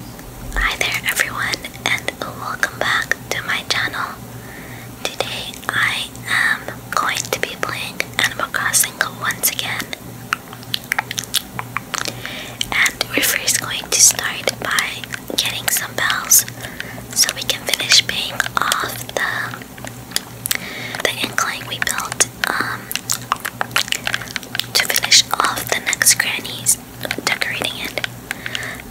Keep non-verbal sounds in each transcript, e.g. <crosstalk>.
Hi there everyone and welcome back to my channel. Today I am going to be playing Animal Crossing once again. And we're first going to start by getting some bells so we can finish paying off the the incline we built um, to finish off the next grannies decorating it.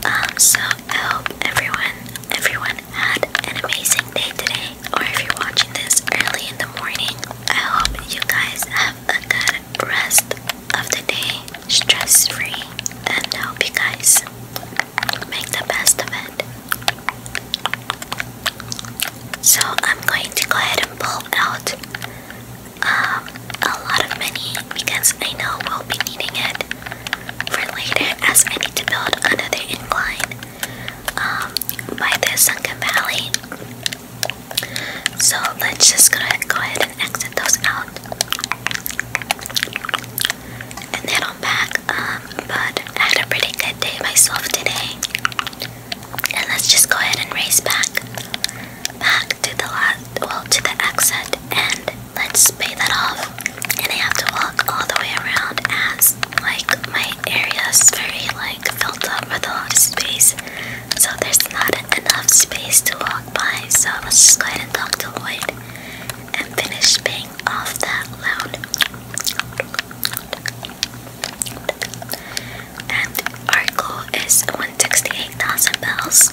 Um, so I hope everyone, everyone had an amazing day today. Or if you're watching this early in the morning, I hope you guys have a good rest of the day, stress free, and I hope you guys make the best of it. So I'm going to go ahead and pull out um, a lot of money because I know we'll be needing it for later as I need to build another incline um, by the Sunken Valley. So let's just go ahead, go ahead and exit those out. And then I'm back, um, but I had a pretty good day myself today. And let's just go ahead and race back back to the last, well, to the exit, and let's pay that off. And I have to walk all the way around as, like, my area is very, like, filled up with a lot of space. So there's not enough space to walk by. So let's just go ahead and talk to Lloyd and finish paying off that loan and our goal is 168,000 bells,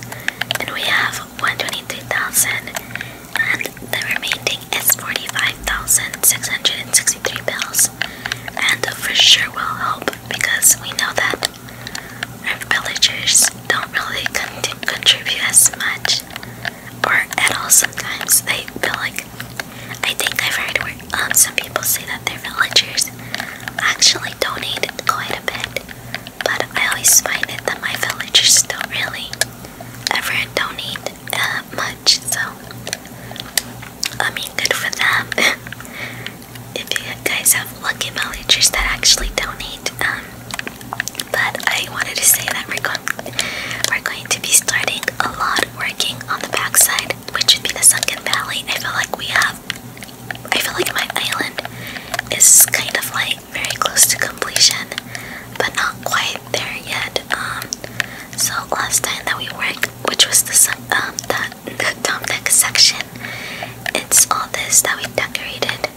and we have 123,000, and the remaining is 45,663 bells, and for sure will help because we know that our villagers don't really con contribute as much or at all sometimes they feel like I think I've heard where um, some people say that their villagers actually donate quite a bit but I always find it that my villagers don't really ever do uh, much, so I mean, good for them. <laughs> if you guys have lucky villagers that actually don't eat, um, but I wanted to say that we're going to be starting a lot working on the backside, which would be the sunken valley. I feel like we have stuff. I feel like my island is kind of like very close to completion, but not quite there yet. Um, so last time that we worked, which was the um the, the Tom Deck section, it's all this that we decorated,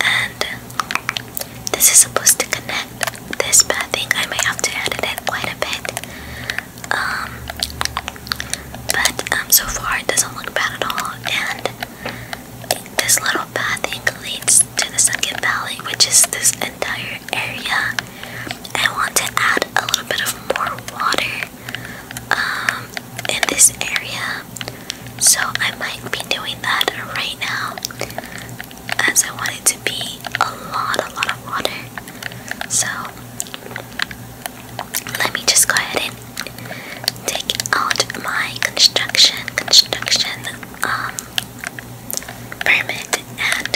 and this is supposed to connect this bad thing. I may have to edit it quite a bit. Um, but um, so far it doesn't look bad at all, and this little pathing leads to the second valley, which is this entire area. I want to add a little bit of more water um, in this area, so I might be doing that right now, as I want it to be a lot, a lot of water. So let me just go ahead and take out my construction construction um permit and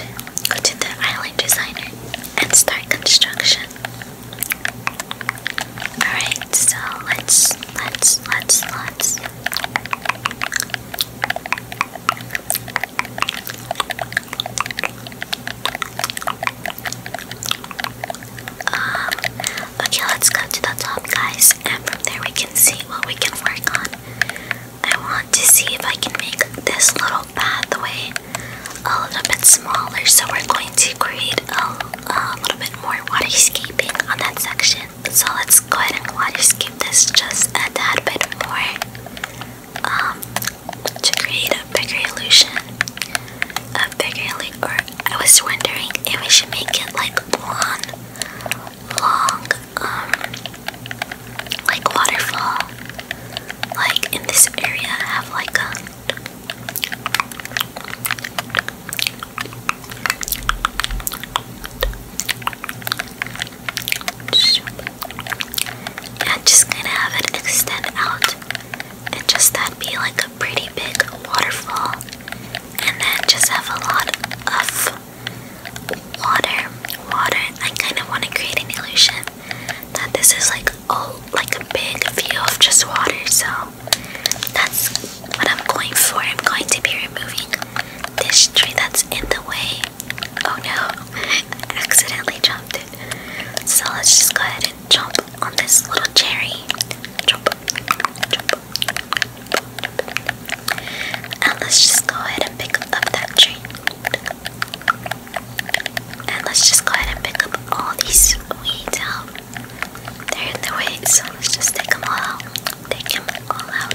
go to the island designer and start construction. Alright, so let's let's let's let's um, okay, let's go to the top, guys, and from there we can see what we can work on. I want to see if I can make this little pathway a little bit smaller, so we're going to create a, little bit more waterscaping on that section. So let's go ahead and waterscape this just add a bit more um, to create a bigger illusion. A bigger illusion. Or I was wondering if we should make it like one long, um, like waterfall. Like in this area, have like a. I'm just gonna have it extend out and just that be like pretty big waterfall and then just have a lot of water. Water. I kind of want to create an illusion that this is like all oh, like a big view of just water. So that's what I'm going for. I'm going to be removing this tree that's in the way. Oh no, <laughs> I accidentally dropped it. So let's just go ahead chomp on this little cherry. Chomp, chomp. And let's just go ahead and pick up that tree. And let's just go ahead and pick up all these weeds out. they in the way, so let's just take them all out. Take them all out.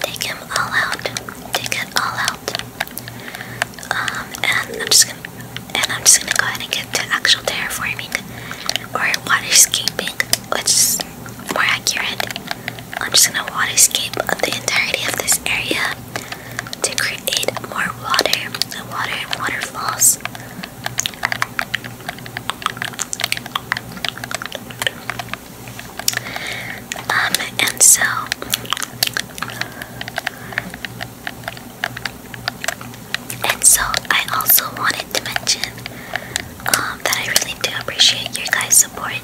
Take them all out. Take it all out. Um, and I'm just gonna and I'm just gonna go ahead and get to actual terraforming or waterscaping, which is more accurate. I'm just gonna waterscape the entirety of this area to create more water, the water and waterfalls. Um, and so and so I also wanted to mention um, that I really do appreciate your guys' support.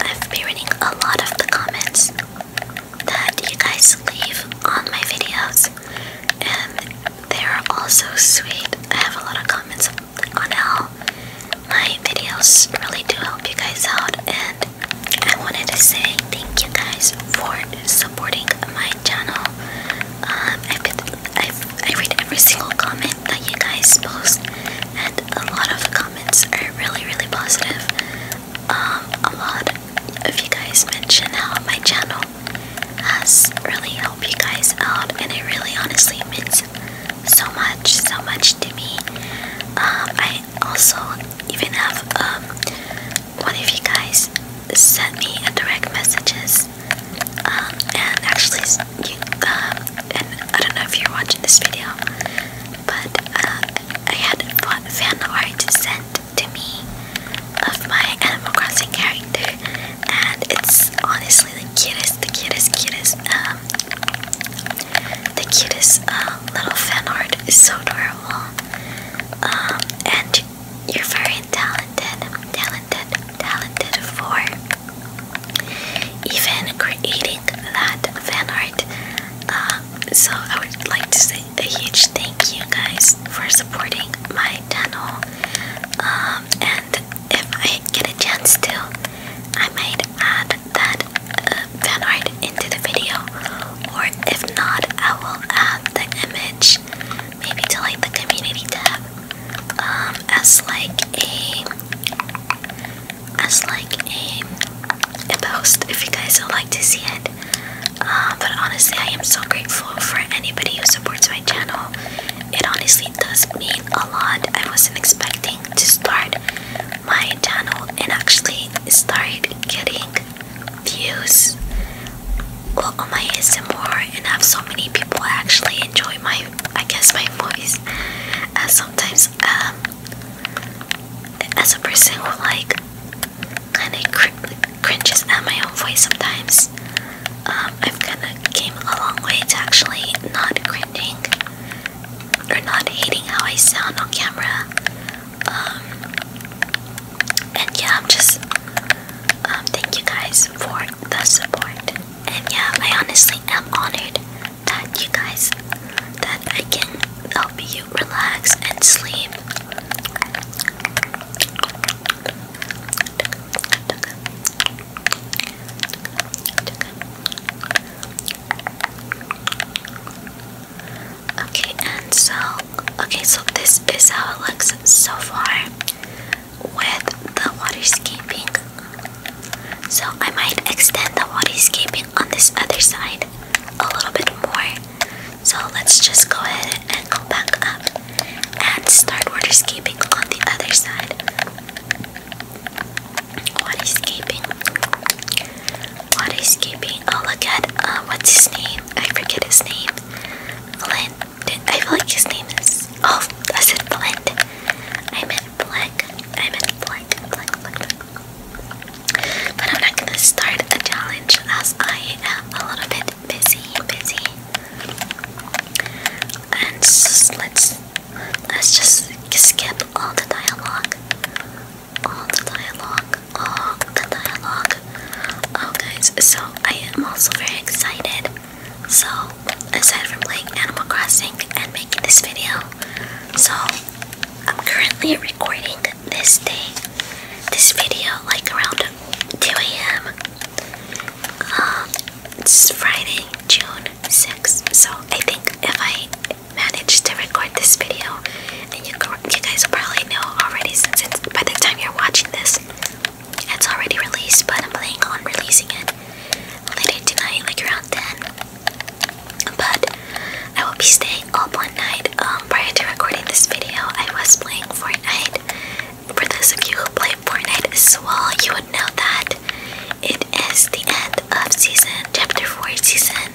I've been reading a lot of the comments that you guys leave on my videos, and they are all so sweet. I have a lot of comments on how my videos really do help you guys out, and I wanted to say thank you guys for supporting my channel. Um, I've, been, I've I read every single comment that you guys post, and a lot of the comments are really, really positive. Um, a lot of you guys mention how my channel has really helped you guys out, and it really, honestly means so much, so much to me. Um, I also even have one of you guys sent me a direct messages, um, and actually, you, um, and I don't know if you're watching this video, but uh, I had fan art sent to me of my Animal Crossing character, and it's honestly the cutest, the cutest, cutest, um, the cutest um, little fan art. It's so adorable. Um, and you're very talented, talented, talented for even creating that fan art. Um, so I would like to say a huge thank you guys for supporting my channel. Um, and if I get a chance to, I might add that uh, fan art into the video, or if not, I will add the image maybe to like the community tab um, as like a as like a, a post if you guys would like to see it uh, but honestly I am so grateful for anybody who supports my channel it honestly does mean a lot I wasn't expecting to start my channel and actually start getting views well, on my ASMR and have so many people actually enjoy my, I guess, my voice. Uh, sometimes, um, as a person who like kind of cr cringes at my own voice sometimes, um, I've kind of came a long way to actually not cringing or not hating how I sound on camera. Um, and yeah, I'm just um, thank you guys for the support. And yeah, I honestly am honored that you guys that I can help you relax and sleep. Okay, and so okay, so this is how it looks so far with the water waterscaping. So I might extend the water waterscaping on this other side a little bit more. So let's just go ahead and go back up and start water waterscaping on the other side. Water Waterscaping. I'll oh, look at uh, what's his name? I forget his name. Flint. I feel like his name is. Oh, I said Flint. I meant Black. I meant Black. But I'm not gonna start a challenge as I am a little bit busy, busy. And let's let's just skip all the dialogue. All the dialogue. Oh, the dialogue. Oh, guys, so I am also very excited. So, aside from playing Animal Crossing and making this video, so I'm currently recording this day, this video, like around 2 a.m. Um, it's Friday, June 6th. So, I think if I manage to record this video and you can you guys probably know already since by the time you're watching this, it's already released, but I'm planning on releasing it later tonight, like around 10. But I will be staying up one night. Um, prior to recording this video, I was playing Fortnite. For those of you who play Fortnite as well, you would know that it is the end of season chapter 4, season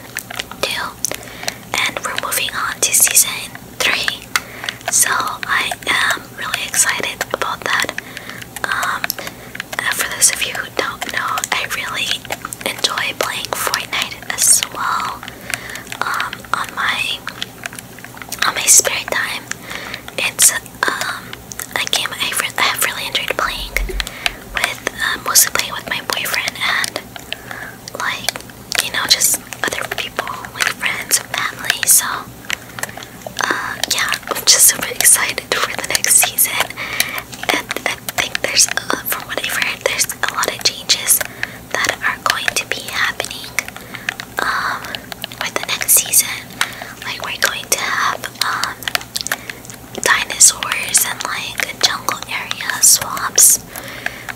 2, and we're moving on to season three. So I am really excited about that. Um, for those of you who don't know, I really enjoy playing Fortnite as well. Um, on my on my spare time, it's um a game I, re I have really enjoyed playing with uh, mostly playing with my boyfriend and like you know just other people like friends family so uh, yeah i'm just super excited for the next season and i think there's uh, from what i've heard there's a lot of changes that are going to be happening um, with the next season like we're going to have um, dinosaurs and like jungle area swamps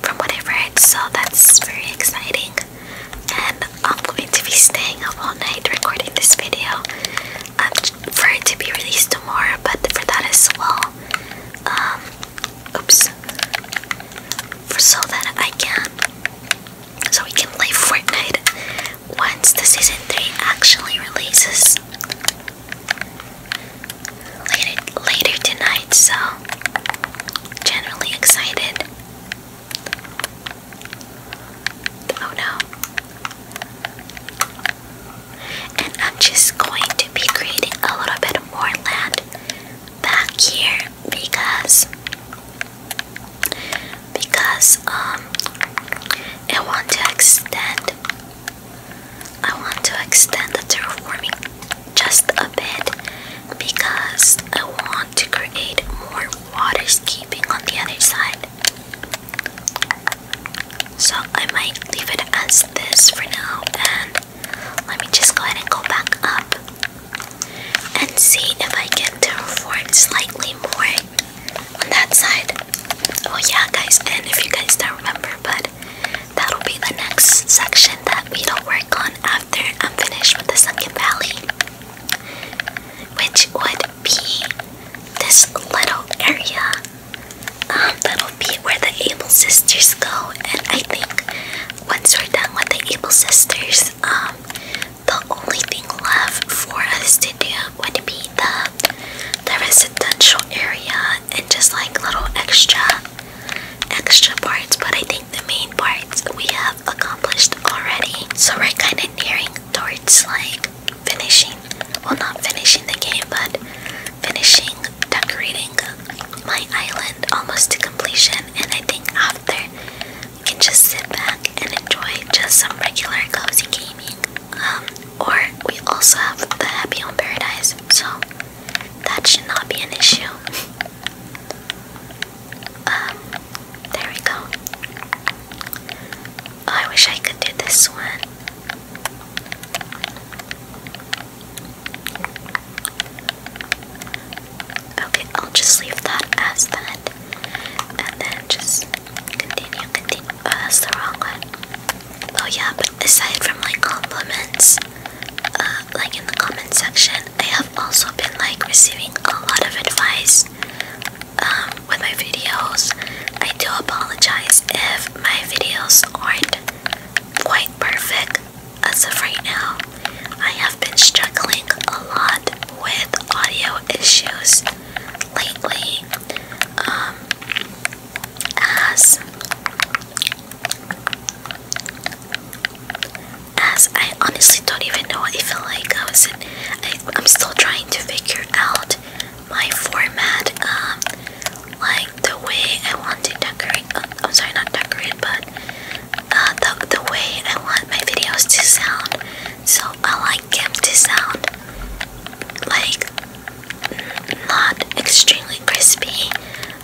from what I've so that's very exciting. And I'm going to be staying up all night recording this video um, for it to be released tomorrow, but for that as well, um, oops, so that I can, so we can play Fortnite once the season 3 actually releases later tonight, so generally excited. Oh no. And I'm just going to be creating a little bit more land back here because because um I want to extend I want to extend the terraforming just a bit because I want to create more water skipping on the other side. So I might leave it as this for now and let me just go ahead and go back up and see if I can terraform slightly more on that side. Oh yeah guys, and if you guys don't remember, but that'll be the next section that we don't work on after I'm finished with the Sunken Valley, which would be this little area. Um, that'll be where the Able Sisters go, and I think once we're done with the Able Sisters, um, the only thing left for us to do would be the the residential area and just like little extra extra parts, but I think the main parts we have accomplished already. So we're kind of nearing towards like finishing, well, not finishing the game, but finishing decorating my island almost to completion. And I think after you can just sit back and enjoy just some regular cozy gaming. Um, or we also have the Happy Home Paradise. So that should not be an issue. Um, there we go. Oh, I wish I could do this one. Okay, I'll just leave that as that. And then just continue, continue. Oh, that's the wrong one. Oh, yeah, aside from like compliments, uh, like in the comment section, I have also been like receiving a lot of advice um, with my videos. I do apologize if my videos aren't quite perfect as of right now. I have been struggling a lot with audio issues lately. Um, as as I honestly don't even know what it felt like. I was in, I, am still trying to figure out my format, um, like the way I want to decorate. Uh, I'm sorry, not decorate, but uh, the the way I want my videos to sound. So I like them to sound like not extremely crispy,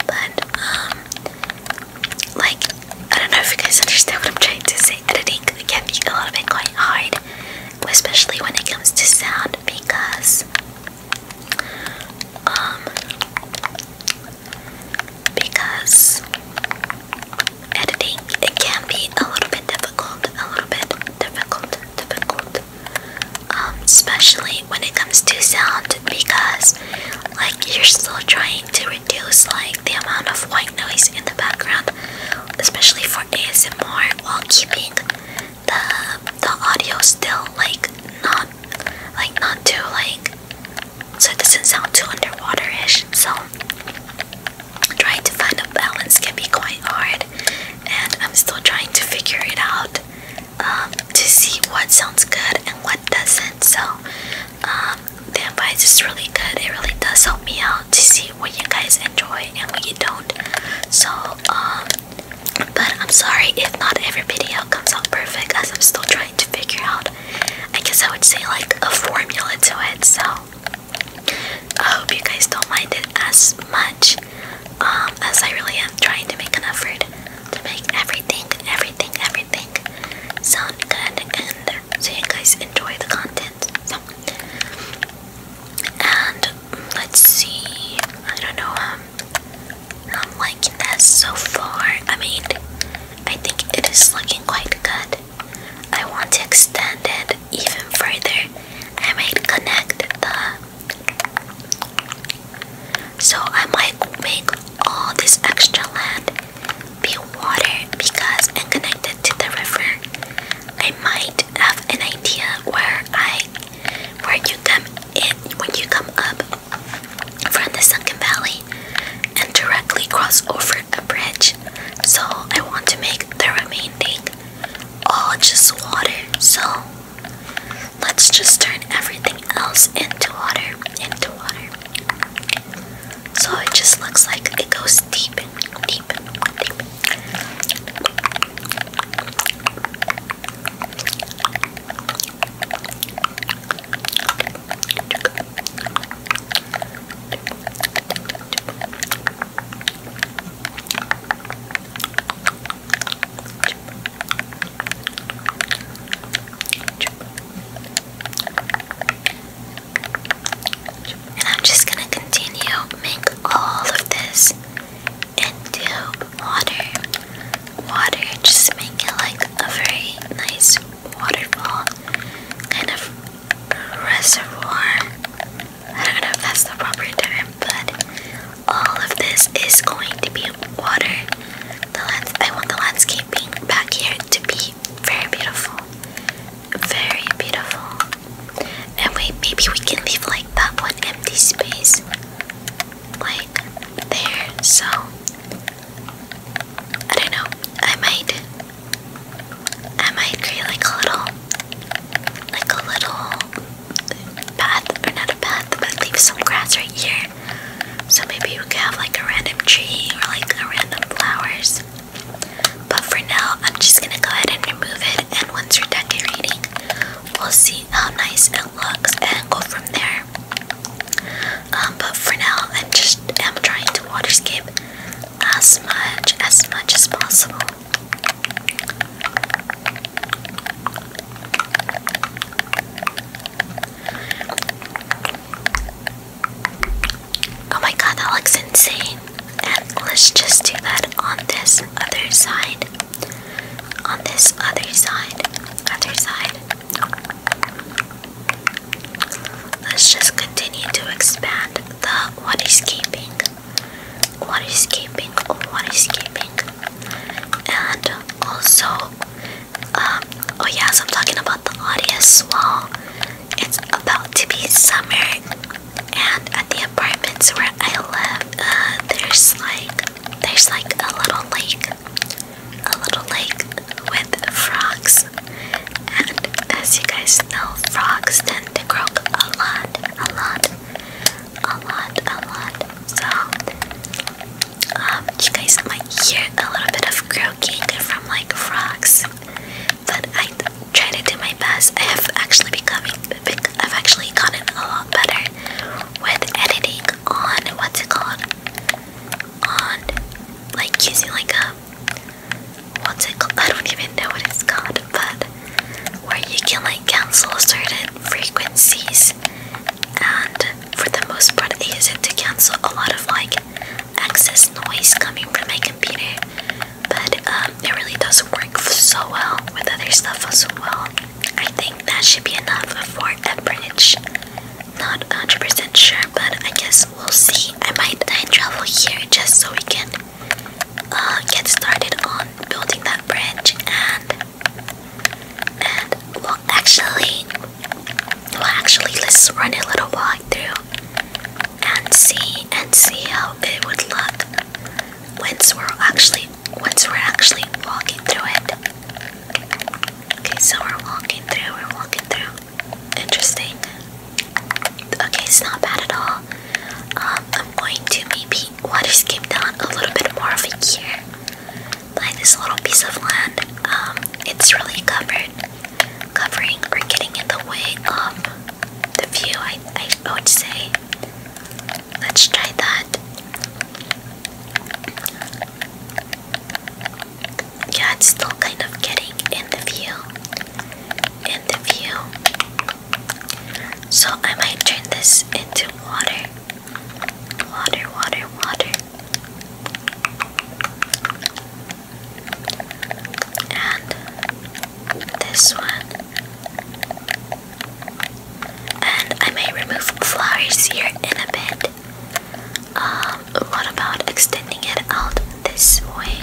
but um, like I don't know if you guys understand what I'm trying to say. Editing can be a little bit quite hard, especially when it comes to sound because um because editing it can be a little bit difficult, a little bit difficult, difficult. Um, especially when it comes to sound because like you're still trying to reduce like the amount of white noise in the background especially for ASMR while keeping the the audio still like not like not too like so it doesn't sound too underwater-ish so trying to find a balance can be quite hard and I'm still trying to figure it out um, to see what sounds good and what doesn't. So um, why it's just really good. It really does help me out to see what you guys enjoy and what you don't. So um, but I'm sorry if not every video comes out perfect, as I'm still trying to figure out. I guess I would say like a formula to it. So I hope you guys don't mind it as much um, as I really am trying to make an effort to make everything, everything, everything everything sound good and so you guys enjoy the content. and let's see. I don't know. Um, I'm liking this so far. I mean, I think it is looking quite good. I want to extend it even further. I might connect the so I might make all this extra land be water because I'm connected to the river. I might have an idea where I where you come in when you come up from the sunken valley and directly cross over a bridge. So I want to make the remaining all just water. So Let's just turn everything else into water. Into water. So it just looks like it goes deep, deep, deep. I'm just gonna continue make all of this into water. Water, just make it like a very nice waterfall kind of reservoir. I don't know if that's the proper term, but all of this is going to be water the lands I want the landscaping back here to be very beautiful. Very beautiful. And wait, maybe we can leave like that one empty space. Like there. So I don't know. I might I might create like a little like a little path or not a path, but leave some grass right here so maybe we can have like a random tree or like a random flowers. But for now, I'm just gonna go ahead and remove it. And once we are decorating, we'll see how nice it looks and go from there. Um, but for now, I'm just am trying to waterscape as much as much as possible. Oh my god, that looks insane. And let's just do that on this other side. On this other side. Other side. Let's just continue to expand the keeping, waterscaping. Waterscaping, keeping, And also um, oh yeah, so I'm talking about the audience. Well, it's about to be summer, and at the apartments where I live, uh, there's like there's like a little lake, a little lake with frogs, and as you guys know, frogs tend to croak a lot, a lot, a lot, a lot. So um, you guys might hear a little bit of croaking from like frogs, but I try to do my best. I have actually becoming, I've actually gotten a lot better with editing on what's it called? On like using like a what's it called? <laughs> I don't even know what it's called, but where you can like cancel certain frequencies and for the most part, it is able to cancel a lot of like excess noise coming from my computer. But um, it really does work so well with other stuff as well. I think that should be enough for that bridge. Not 100% sure, but I guess we'll see. I might time uh, travel here just so we can uh, get started on building that bridge and and well actually well, actually, let's run a little walk through and see and see how it would look once we're actually once we're actually walking through it. Okay, so we're walking through. We're walking through. Interesting. Okay, it's not bad at all. Um, I'm going to maybe water skip down a little bit more of over here by this little piece of land. Um, it's really covered, covering or getting in the way of the view, I, I would say. Let's try that. Yeah, it's still kind of getting in the view. In the view. So I might turn this into water. Water, water, water. And this one. And I may remove flowers here in a bit. Um, what about extending it out this way?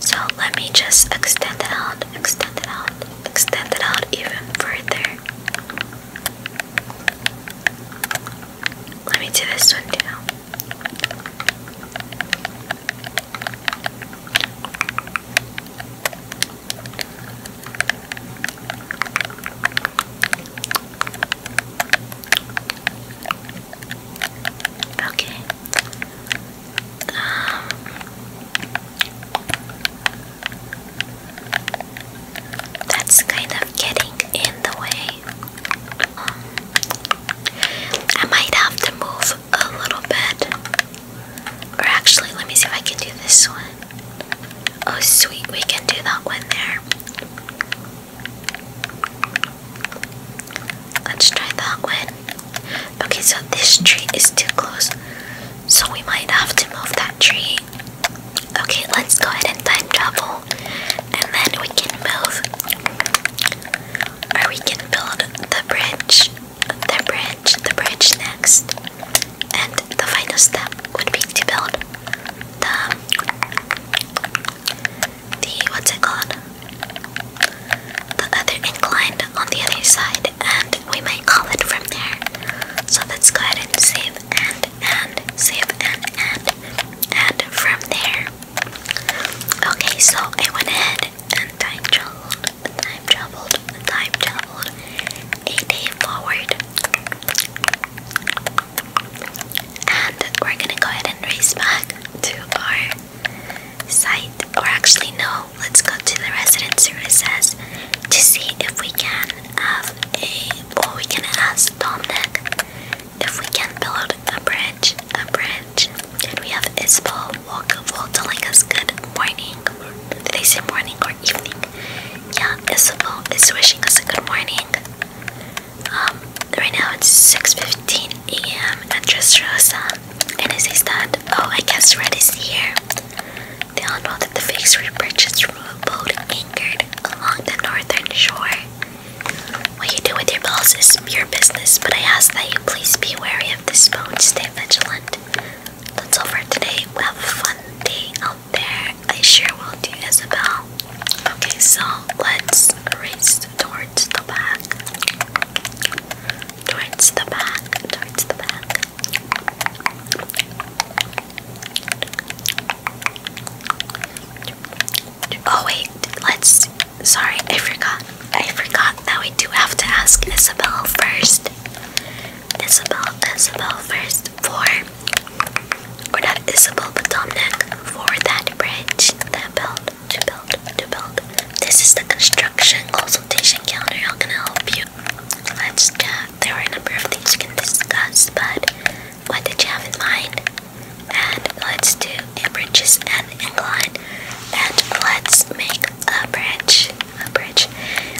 So let me just extend it out, extend it out extend it out even further. Let me do this one too. Okay. Um, that's kind of getting in the way. Um, I might have to move a little bit. Or actually, let me see if I can do this one. Oh, sweet, we can do that one there. Let's try that one. Okay, so this tree is too close. So we might have to move that tree. Okay, let's go ahead and time travel. And then we can move. Or we can build the bridge. The bridge. The bridge next. And the final step would be to build the the what's it called? The other incline on the other side we might call it from there. So let's go ahead and save and and save and and and from there. Okay, so I went ahead and time traveled, time traveled, time traveled a day forward. And we're gonna go ahead and race back to our site, or actually, no, let's go to the resident services to see if we can have a or we can ask Dominic if we can build a bridge. A bridge. And we have Isabel Walker telling us good morning. Did They say morning or evening. Yeah, Isabel is wishing us a good morning. Um, right now it's 6.15 a.m. at Dressrosa. And it says that, oh, I guess red is here. They all know that the figs were purchased from a boat anchored along the northern shore. What you do with your balls is your business, but I ask that you please be wary of this bone. Stay vigilant. That's all for today. We have a fun day out there. I sure will do, Isabel. Okay, so let's race towards the back. Towards the back. Towards the back. Oh wait, let's sorry, I forgot. I forgot that we do have to ask Isabel first. Isabel, Isabel first for or not Isabel but Dominic for that bridge that build to build to build. This is the construction consultation calendar. How can I help you? Let's chat. There are a number of things we can discuss, but what did you have in mind? And let's do a bridges and incline. And let's make a bridge. A bridge.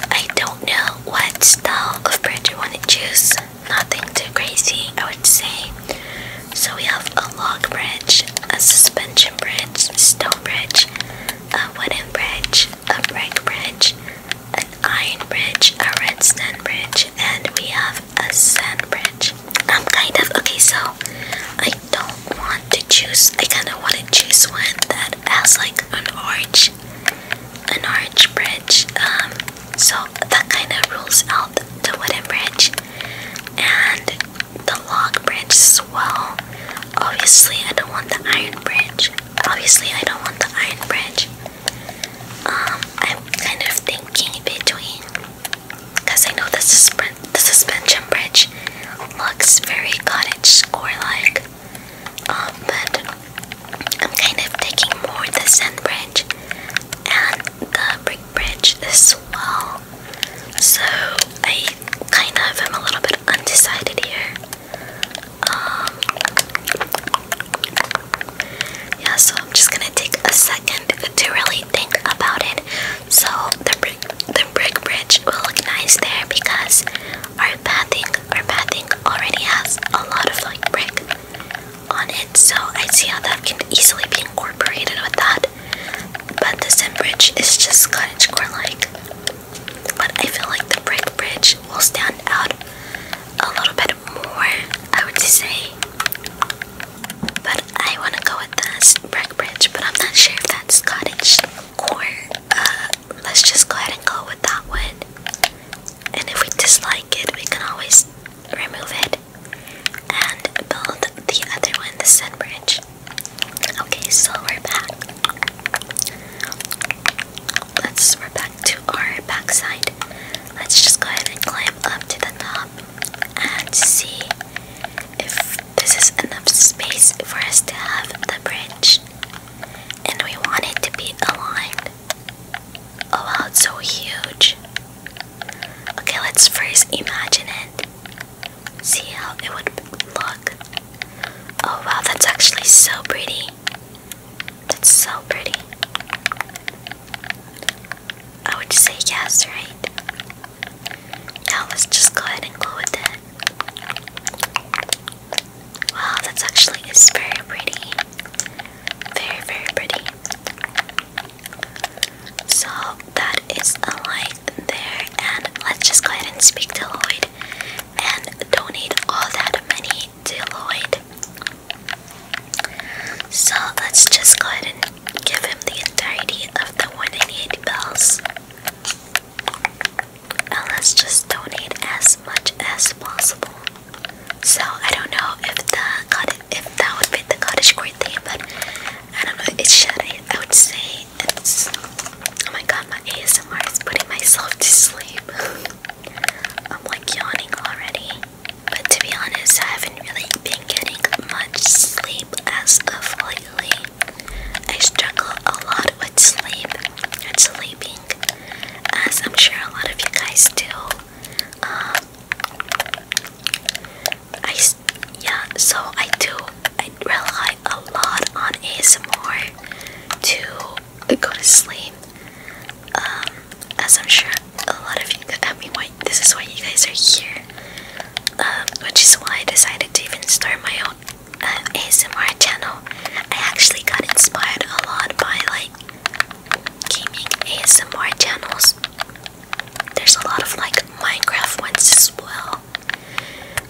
I don't know what style of bridge you want to choose. Nothing too crazy, I would say. So we have a log bridge, a suspension bridge, stone bridge, a wooden bridge, a brick bridge, an iron bridge, a red redstone bridge, and we have a sand bridge. I'm um, kind of okay, so I don't want to choose, I kind of want to choose one that has like an arch, an arch bridge. Um, so that kind of rules out the wooden bridge and the log bridge as well. Obviously, I don't want the iron bridge obviously I don't want the iron bridge. Um, I'm kind of thinking between, because I know the, susp the suspension bridge looks very cottage score-like, um, but I'm kind of taking more the sand bridge and the brick bridge as well. So I kind of am a little bit undecided here yeah, so I'm just gonna take a second to really think about it. So the brick, the brick bridge will look nice there because our pathing, our pathing already has a lot of like brick on it. So I see how that can easily be incorporated with that. But this Sim bridge is just cottage core like. But I feel like the brick bridge will stand out a little bit more, I would say. But I want to go with the brick bridge, but I'm not sure if that's cottage or uh, let's just go ahead and go with that one. And if we dislike it, we can always remove it and build the other one, the sun bridge. Okay, so we're back let's we back to our backside. Let's just go ahead and climb up to the top and see if this is enough space for us to have the bridge. And we want it to be aligned. Oh wow, it's so huge. Okay, let's first imagine it. See how it would look. Oh wow, that's actually so pretty. That's so pretty. I would say yes, right? Now let's just go ahead and go with it. Wow, that's actually is very pretty. Very, very pretty. So that is a light there, and let's just go ahead and speak to Lloyd and donate all that money to Lloyd. So let's just go ahead and give him the entirety of the 180 bells. And let's just donate as much as possible. So I don't know if the if that would fit the cottage core but I don't know. It should. I would say it's Oh my god, my ASMR is putting myself to sleep. <laughs> I'm like yawning already. But to be honest, I haven't really been getting much sleep as of lately. I struggle a lot with sleep and sleeping, as I'm sure a lot of you guys do. Um, I yeah, so I do. I rely a lot on ASMR to I go to sleep. Um, as I'm sure a lot of you could tell me why this is why you guys are here. Um, which is why I decided to even start my own uh, ASMR channel. I actually got inspired a lot by like gaming ASMR channels. There's a lot of like Minecraft ones as well,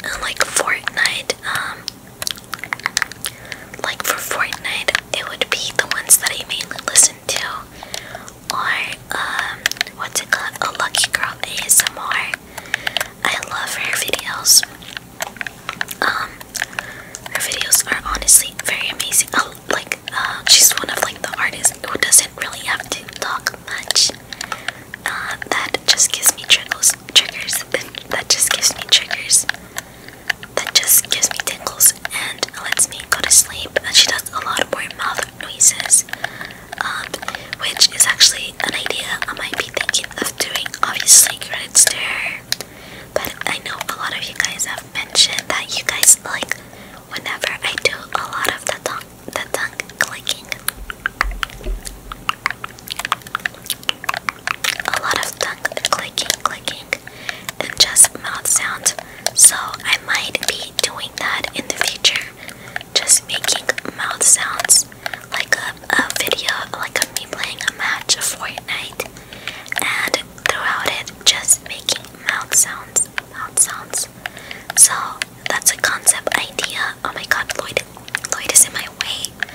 and like Fortnite. Um, like for Fortnite, it would be the ones that I mainly listen to, or um, what's it called? A Lucky Girl ASMR. I love her videos. Um, her videos are honestly very amazing. Oh, like uh, she's one of like the artists who doesn't really have to talk much. Uh, that just gives me Triggers. <laughs> that just gives me triggers that just gives me tingles and lets me go to sleep. And she does a lot of more mouth noises, um, which is actually an idea I might be thinking of doing. Obviously, credit to her. But I know a lot of you guys have mentioned that you guys like whenever I do a lot of the tongue, the tongue clicking. A lot of tongue clicking, clicking, and just mouth sounds. So I might be doing that in the future. Just making mouth sounds like a, video, like of me playing a match of Fortnite, and throughout it, just making mouth sounds, mouth sounds. So that's a concept idea. Oh my god, Lloyd, Lloyd is in my way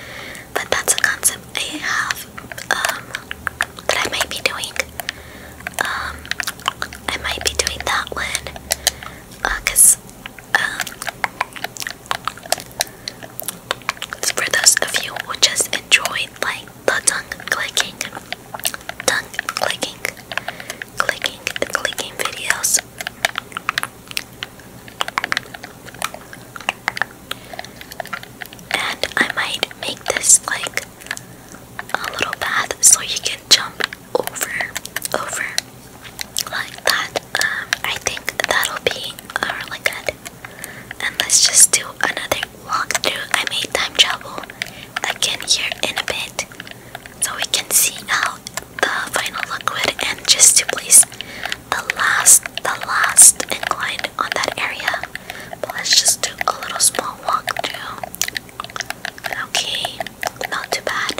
but that's a concept I have um, that I might be doing. Um, I might be doing that one because uh, um, for those of you who just enjoyed like the tongue clicking, tongue clicking, clicking, clicking videos. And I might make this like a little path so you can jump over, over like that. Um, I think that'll be uh, really good. And let's just do another walkthrough. I made time travel again here in a bit so we can see how the final liquid And just to please the last, the last incline on that area. But let's just do a little small walk through. Okay, not too bad.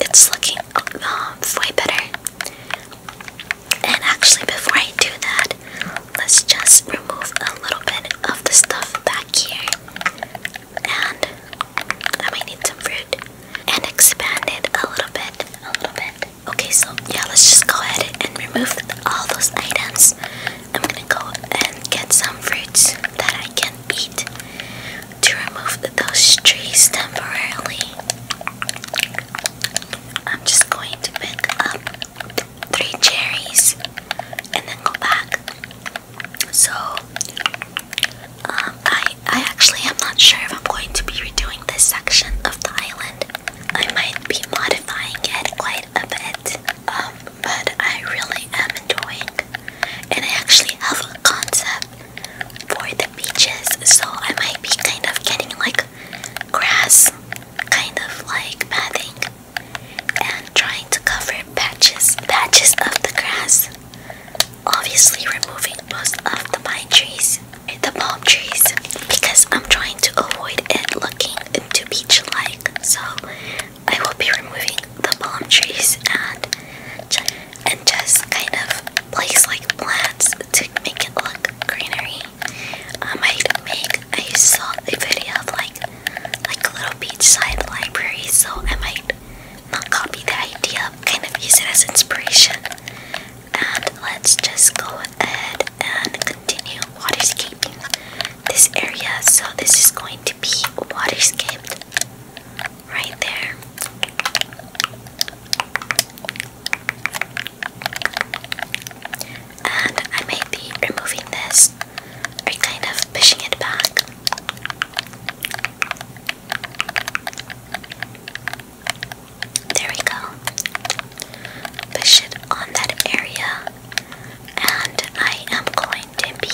it's looking um, way better. And actually, before I do that, let's just remove a little bit of the stuff back here. And I might need some fruit. And expand it a little bit, a little bit. Okay, so yeah, let's just go ahead and remove all those items. I'm gonna go and get some fruits that I can eat to remove those trees temporarily. I'm just going to pick up three cherries and then go back. So, um, I I, actually am not sure if I'm going to be redoing this section of the island. I might be modifying it quite a bit, um, but I really am enjoying. And I actually have a concept for the beaches, so I might be kind of getting like grass, kind of like padding, and trying to cover patches, patches of the grass obviously removing most of the pine trees, the palm trees, because I'm trying to avoid it looking too beach-like. So I will be removing the palm trees and and just kind of place like plants to make it look greenery. I might make I saw a video of like like a little beachside library, so I might not copy the idea, kind of use it as inspiration. And let's just go ahead and continue waterscaping this area. So this is going to be waterscaped right there. And I may be removing this or kind of pushing it back. There we go. Push it on that area, and I am going to be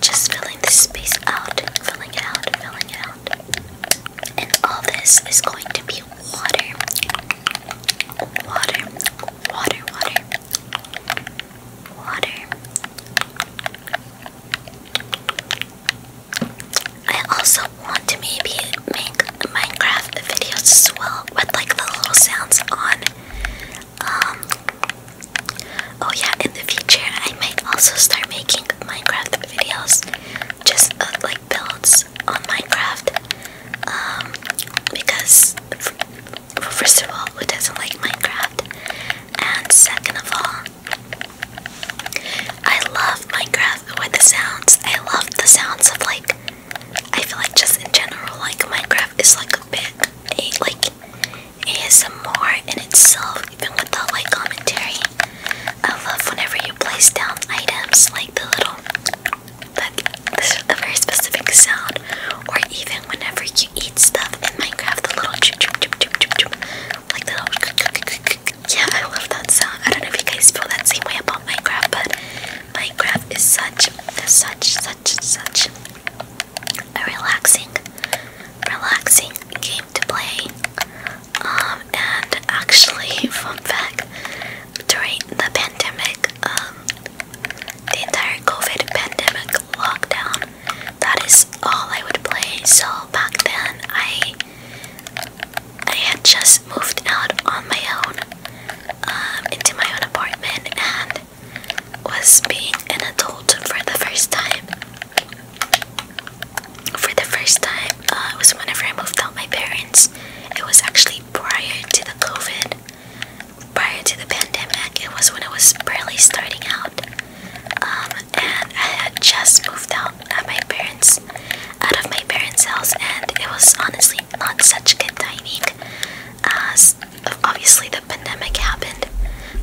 just filling this space out, filling it out, filling it out. And all this is going to be water. Water, water, water. Water. I also want to maybe make Minecraft videos as well with like the little sounds on. Um, oh yeah, in the future I might also start making Minecraft videos, just uh, like builds on Minecraft. Um, because first of all, who doesn't like Minecraft? And second of all, I love Minecraft with the sounds. I love the sounds of like I feel like just in general like Minecraft is like a bit a, like ASMR in itself even without like commentary. I love whenever you place down items like the little that this very specific sound or even whenever you eat stuff in Minecraft the little choop, choop, choop, choop, choop, choop, like the little yeah, I love that sound. I don't know if you guys feel that same way about Minecraft, but Minecraft is such, such, such, such a relaxing, relaxing game to play. Um, and actually, <laughs> fun fact, during the pandemic, um, the entire COVID pandemic lockdown, that is all I would play. So back then, I I had just moved out on my own um, into my own apartment and was being an adult for the first time. For the first time, uh, it was whenever I moved out my parents. It was actually prior to the COVID, prior to the pandemic. It was when I was barely starting out. Um, and I had just moved out at my parents, out of my parents' house, and it was honestly not such good timing. As uh, obviously the pandemic happened,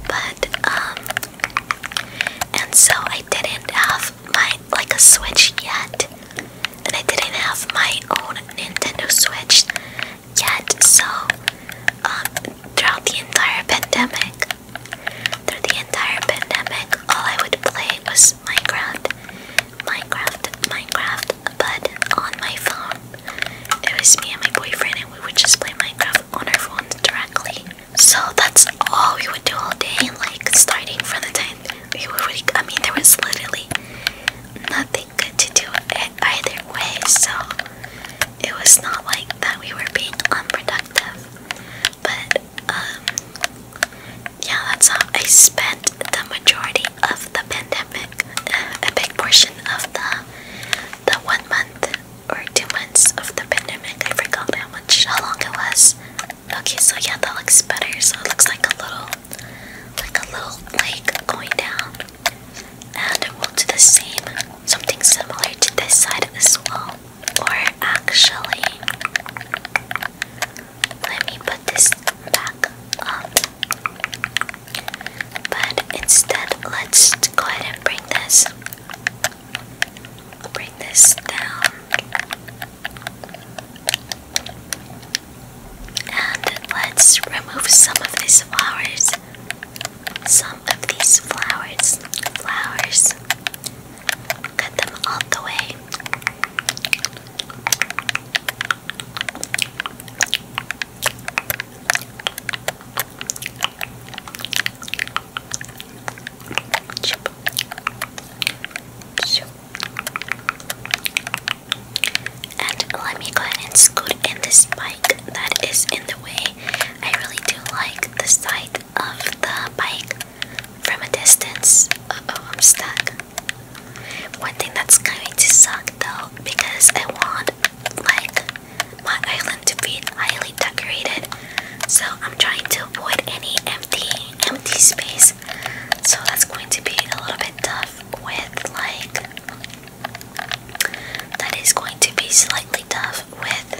but um, and so I didn't have my like a Switch yet, and I didn't have my own Nintendo Switch yet. So um, throughout the entire pandemic, through the entire pandemic, all I would play was Minecraft, Minecraft, Minecraft, but on my phone. It was me and my boyfriend, and we would just play Minecraft on our phones directly. So that's all we would do all day, like starting from the time we were, I mean, there was literally nothing good to do either way, so it was not like that we were being unproductive. But um, yeah, that's how I spent the majority of the pandemic, uh, a big portion of the the one month or two months of the pandemic. I forgot how much, how long it was. Okay, so yeah, that looks better. So it looks like a little, like a little lake going down, and we'll do the same, something similar to this side as well. Or actually, let me put this back up. But instead, let's go ahead and bring this bring this down. And let's remove some of these flowers. Some of these flowers. Flowers. Cut them all the way. Chip. Chip. And let me go ahead and scoot in this bike that is in the way. I really do like the side of the bike from a distance. Uh oh, I'm stuck. One thing that's going to suck though, because I want like my island to be highly decorated, so I'm trying to avoid any empty empty space. So that's going to be a little bit tough with like that is going to be slightly tough with.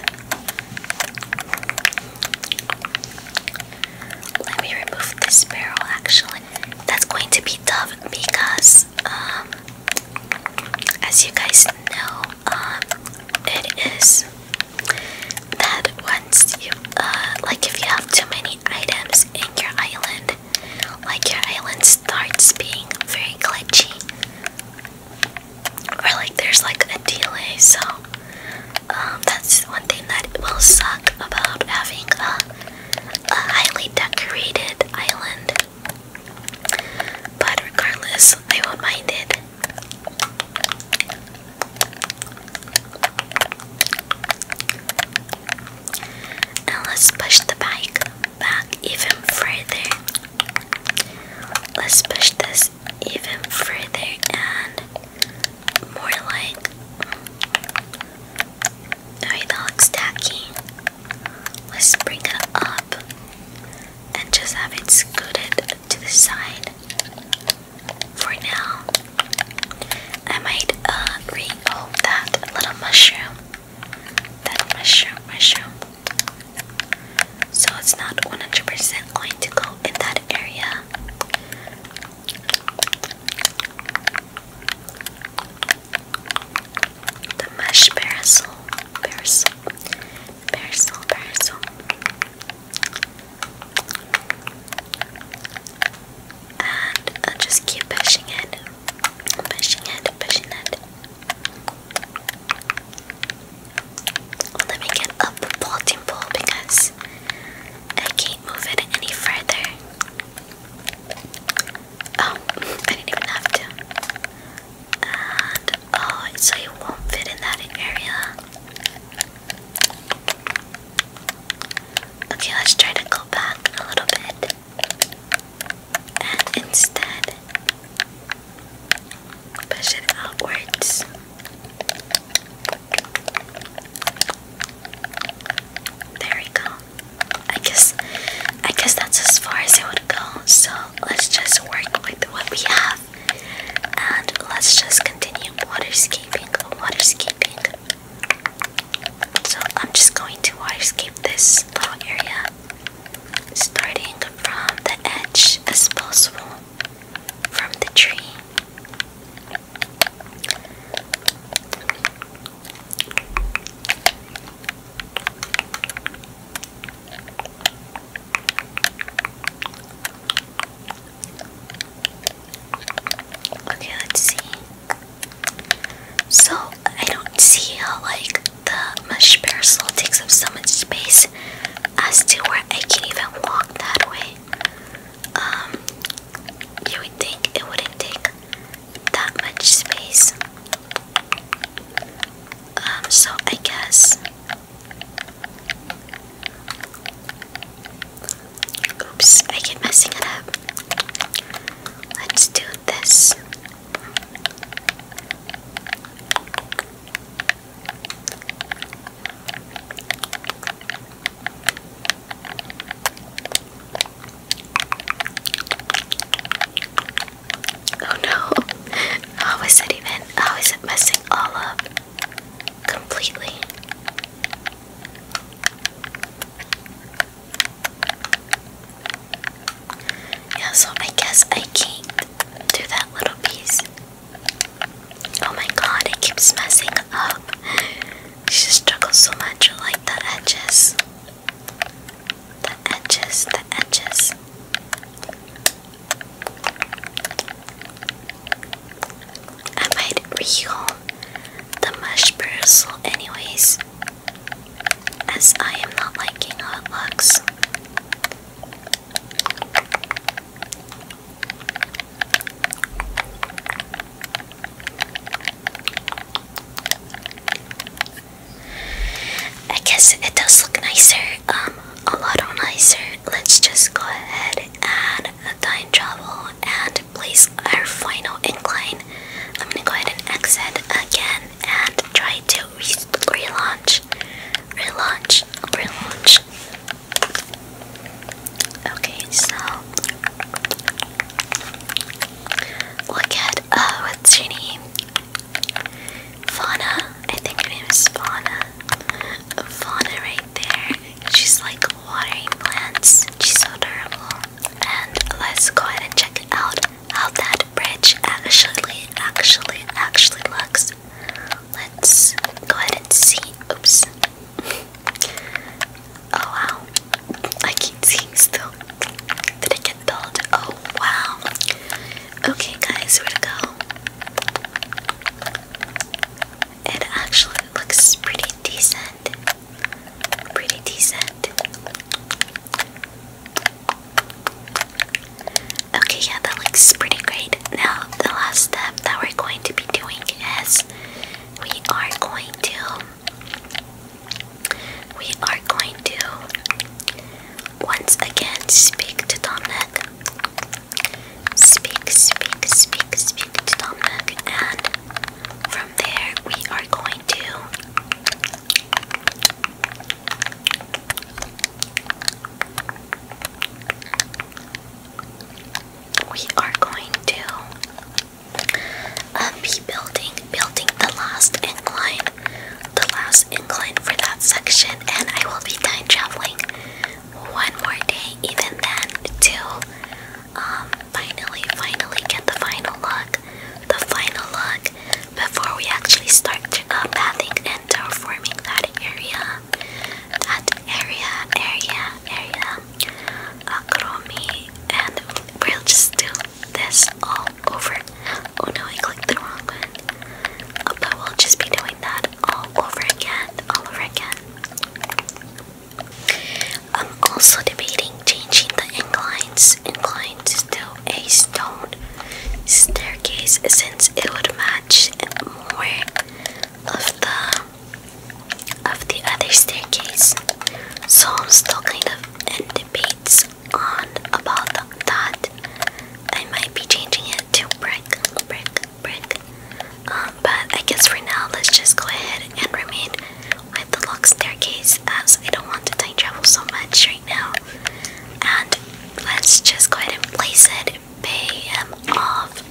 Let me remove this barrel actually. That's going to be tough because, um, as you guys know, um, it is that once you, uh, like if you have too many items in your island, like your island starts being very glitchy or like there's like a delay so um, that's one thing that will suck about having a, a highly decorated island but regardless I won't mind it now let's push the bike back even further let's push this even further and more like. Alright, that looks tacky. Let's bring it up and just have it scooted to the side for now. I might uh, that little mushroom. That mushroom, mushroom so it's not 100% going to go in that area. The mesh parasol, parasol, parasol, parasol. And I'll just keep pushing it, pushing it, pushing it. Let me get up the bolting pole because I can't move it any further. Oh, <laughs> I didn't even have to. And oh, so it won't fit in that area. Okay, let's try to go back a little bit. And instead, Push it outwards. There we go. I guess I guess that's as far as it would go. So let's just work with what we have and let's just continue waterscaping, waterscaping. So I'm just going to waterscape this little area starting from the edge as possible from the tree. Okay, let's see. So I don't see how like the mush parasol takes up so much space as to where I can even walk that way, um, you would think it wouldn't take that much space. Um, so I guess. Oops, I keep messing it up. Let's do this. Oh no, how is it even? How is it messing all up completely? Yeah, so I guess I can't do that little piece. Oh my god, it keeps messing up. She struggles so much with like the edges. The edges, the edges. I might the mush bristle anyways, as I am not liking how it looks. I guess it does look nicer, um, a lot nicer. Let's just go ahead and time travel and place our final incline. I'm gonna go ahead and exit again and try to relaunch, relaunch, relaunch. Okay, so look at uh what's her name? Fauna. I think her name is Fauna. Fauna right there. She's like watering plants. She's so adorable. And let's go ahead and check it out how that bridge actually actually actually looks. Let's go ahead and see. Oops. Oh wow. I keep seeing still. Did it get built? Oh wow. Okay guys, where to go? It actually looks pretty decent. Pretty decent. Okay, yeah, that looks pretty great. Now, the last step that we're going to be doing is we are going to we are going to once again speak to Dominic. Speak, speak, speak, speak to Dominic, and from there we are going to we are going to uh, be building building the last incline, the last incline for that section, and I will be time traveling one more day, even then, to um, finally, finally get the final look, the final look before we actually start to, uh, and that area, that area, area, area, acromi, and we'll just do this all over. Oh no, I clicked the wrong one. Oh, but we'll just be doing that all over again, all over again. I'm also debating changing the inclines, inclines to a stone staircase since it would match more of the of the other staircase. So I'm still kind of in debates on about that. I might be changing it to brick, brick, brick. Um, but I guess for now, let's just go ahead and remain with the lock staircase as I don't want to time travel so much right now. And let's just go ahead and place it pay him off.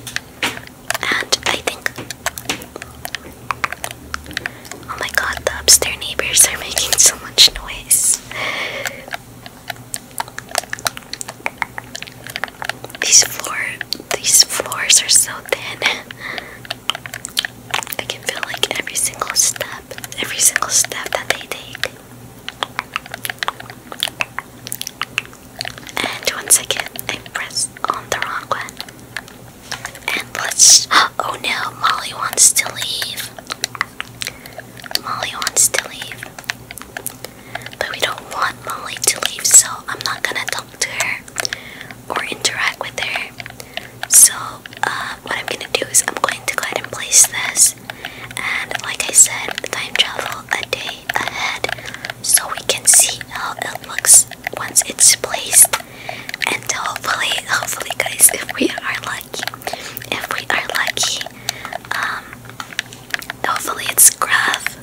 And I think. Oh my god, the upstairs neighbors are making so much noise. These floor these floors are so thin. I can feel like every single step, every single step that they take. And once again, I press on the wrong one. And let's. <gasps> Oh no, Molly wants to leave. Molly wants to leave. But we don't want Molly to leave, so I'm not gonna talk to her or interact with her. So, uh, what I'm gonna do is I'm going to go ahead and place this. And like I said, time travel a day ahead so we can see how it looks once it's placed and hopefully hopefully guys if we are lucky if we are lucky um hopefully it's Graf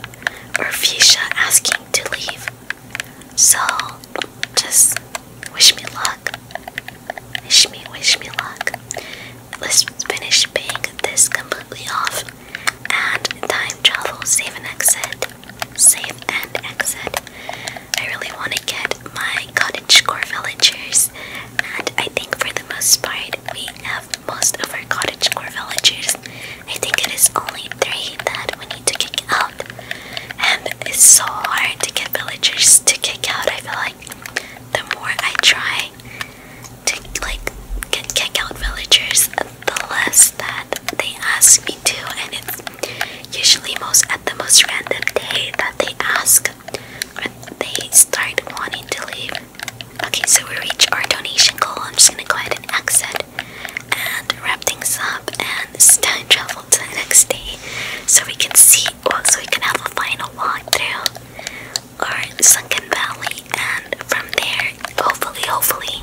or Fisha asking to leave so just wish me luck wish me wish me luck let's finish paying this completely off and time travel, save and exit, save and exit. I really want to get my cottagecore villagers, and I think for the most part, we have most of our cottagecore villagers. I think it is only three that we need to kick out, and it's so hard to get villagers to kick out. I feel like the more I try, to like kick out villagers, uh, the less that they ask me to, and it's usually most at the most random day that they ask when they start wanting to leave. Okay, so we reach our donation goal. I'm just gonna go ahead and exit and wrap things up and time travel to the next day so we can see, so we can have a final walkthrough or Sunken Valley, and from there, hopefully, hopefully,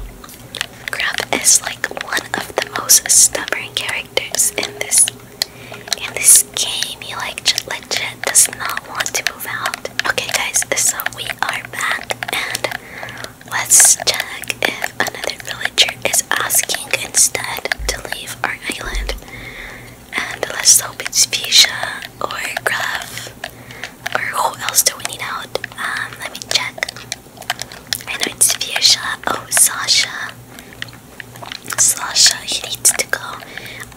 Crab is like one of the most stubborn characters in this in this game. He like legit does not want to move out. Okay, guys, so we are back, and let's check if another villager is asking instead to leave our island. And let's hope it's Fuchsia or Gruff or who else do we need out? Um, let me check. I know it's Viesha. Oh, Sasha. Sasha, he needs to go.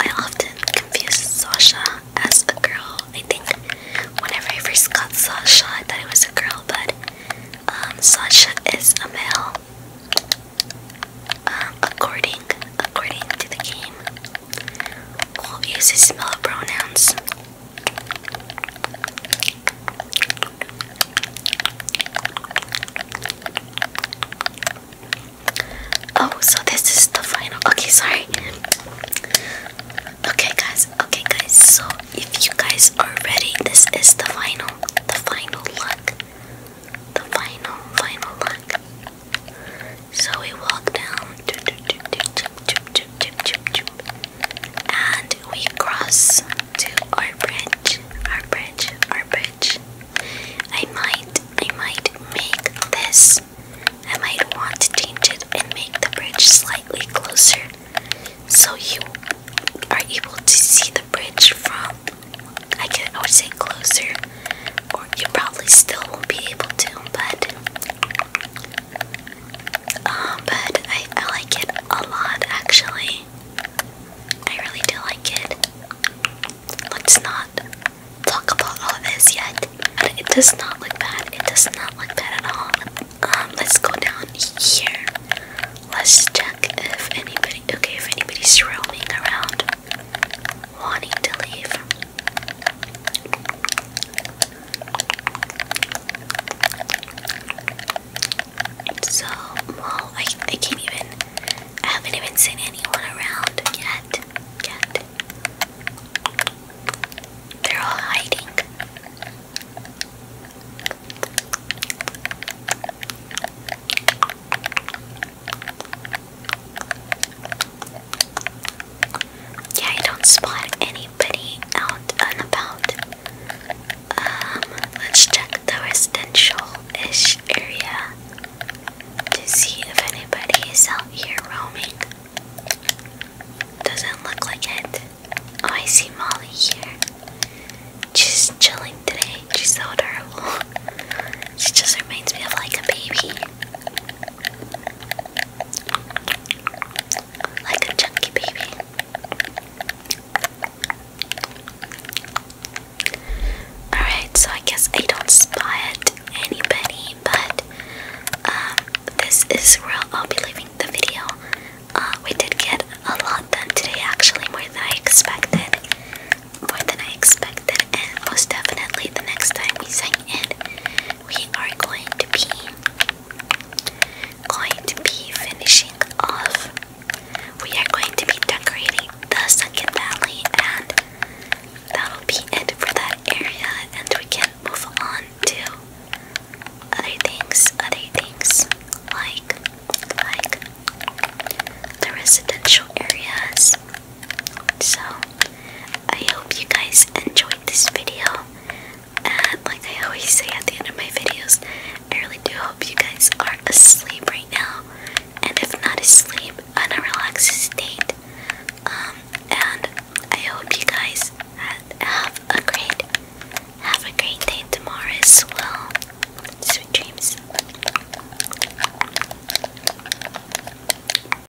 I often confuse Sasha as a girl. I think whenever I first got Sasha, I thought it was a girl, but um, Sasha is a male. Um, according according to the game. We'll use his smell pronouns. Oh, so this is the final. Okay, sorry. Okay, guys. Okay, guys. So if you guys are ready, this is the final, the final look, the final, final look. So we walk down and we cross to our bridge, our bridge, our bridge. I might, I might make this. I might want to change it and make the bridge slightly closer so you are able to see the bridge from, I, can, I would say closer, or you probably still won't be able to, but um, but I, like it a lot actually. I really do like it. Let's not talk about all this yet. But it does not look bad. It does not look bad at all. Um, let's go down here. Let's check if anybody okay if anybody's roaming around wanting to leave. So, well, I, I can't even, I haven't even seen anyone around yet, yet. They're all hiding. Yeah, I don't spot anybody out and about. Um, let's check the residential-ish area to see if anybody is out here roaming. Doesn't look like it. Oh, I see Molly here. She's chilling today. She's so adorable. <laughs> She just reminds me of like a baby. Like a chunky baby. Alright, so I guess I don't spot anybody, but um, this is where I'll be leaving the video. Uh, we did get a lot done today, actually, more than I expected. More than I expected, and most definitely the next time we sing it we are going to be going to be finishing off. We are going to be decorating the Sunken valley, and that'll be it for that area. And we can move on to other things, other things like like the residential areas so, I hope you guys enjoyed this video. And like I always say at the end of my videos, I really do hope you guys are asleep right now. And if not asleep, in a relaxed state. Um, and I hope you guys have a great, have a great day tomorrow as well. Sweet dreams.